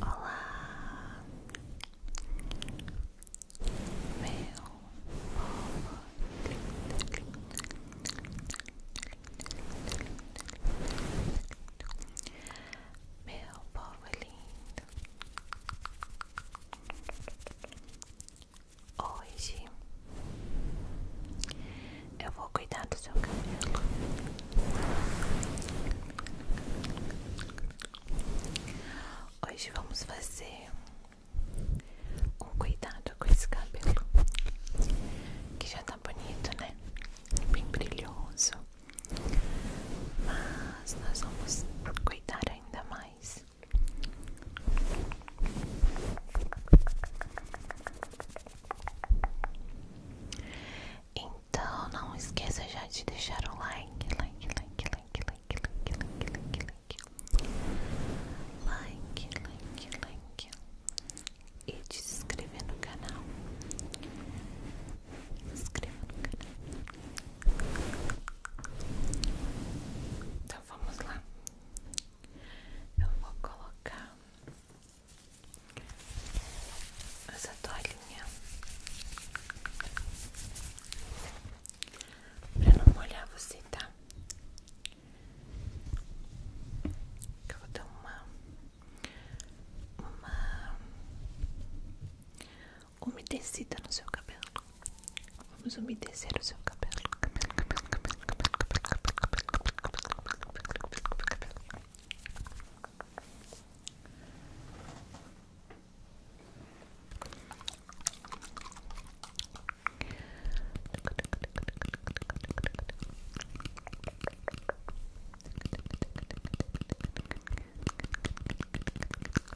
Olá, meu povo é meu povo é lindo Hoje eu vou cuidar do seu cabelo. Hoje vamos fazer um cuidado com esse cabelo que já tá bonito, né? Bem brilhoso. Mas nós vamos cuidar ainda mais. Então não esqueça já de deixar o like, like, like, like, like, like, like, like, like, like, like, like, like e de se inscrever no canal. Então vamos lá. Eu vou colocar essa toalhinha para não molhar você, tá? Eu vou dar uma uma umedecida no seu cabelo. Vamos umedecer o seu cabelo.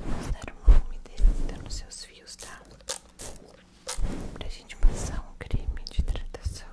Vamos dar uma umedecida nos seus fios, tá? Pra gente passar um creme de hidratação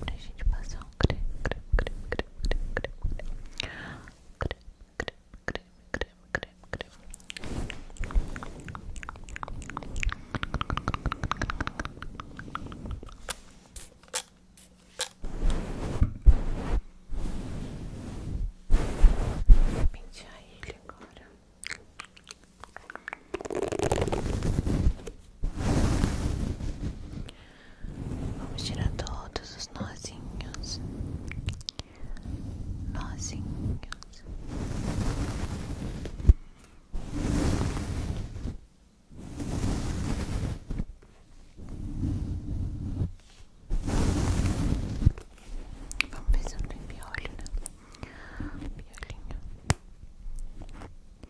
pra gente passar um creme, creme, creme, creme, creme, creme, creme, creme, creme, creme, creme, Vou pentear ele agora. Vamos tirar todos os nozinhos, nozinhos. Vamos pensando em não tem né? Piolinho.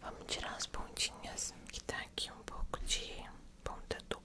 Vamos tirar as pontinhas que tá aqui um pouco de ponta dupla.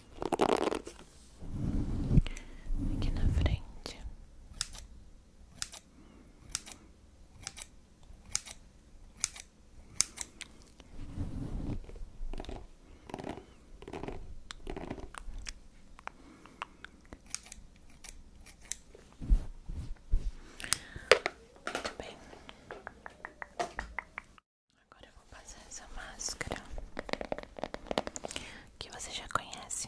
aqui na frente. bem. Agora eu vou passar essa máscara que você já conhece.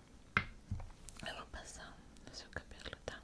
Eu vou no seu cabelo, Tá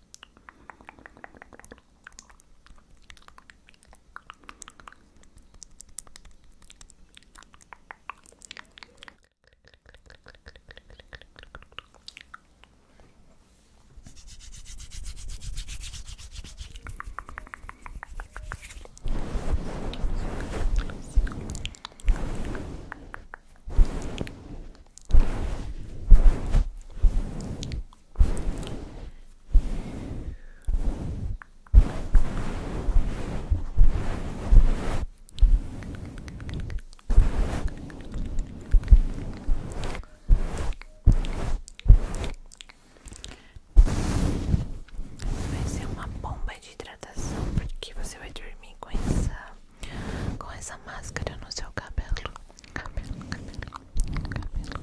Vai ser uma bomba de hidratação porque você vai dormir com essa com essa máscara no seu cabelo. Cabelo, cabelo, cabelo, cabelo.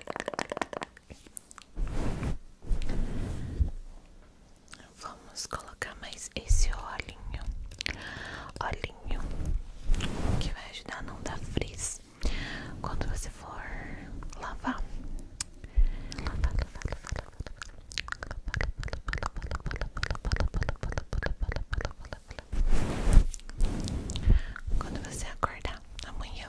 Vamos colocar mais esse olhinho, olhinho que vai ajudar a não dar frizz quando você for lavar. lavar. Quando você acordar amanhã.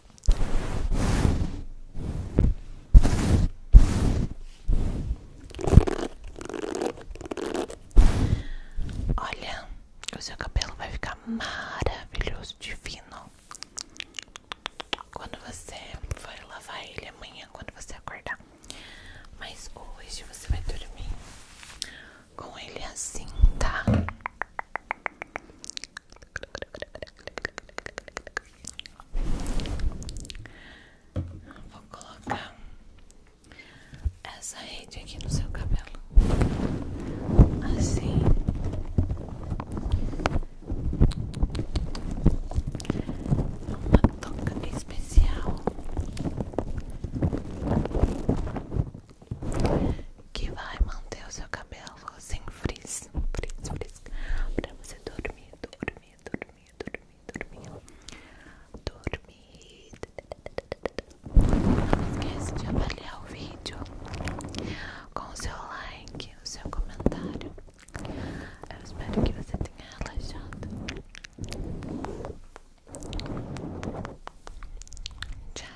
Olha, o seu cabelo vai ficar maravilhoso, divino. Quando você for lavar ele amanhã, quando você acordar. Mas hoje você vai dormir com ele assim, tá? Vou colocar essa rede aqui no seu cabelo, assim. Uma toca especial que vai manter o seu cabelo sem friz frizz, frizz, pra você dormir dormir, dormir, dormir, dormir, dormir, Não esquece de avaliar o vídeo com o seu like, o seu comentário. Eu espero que você tenha relaxado. Tchau.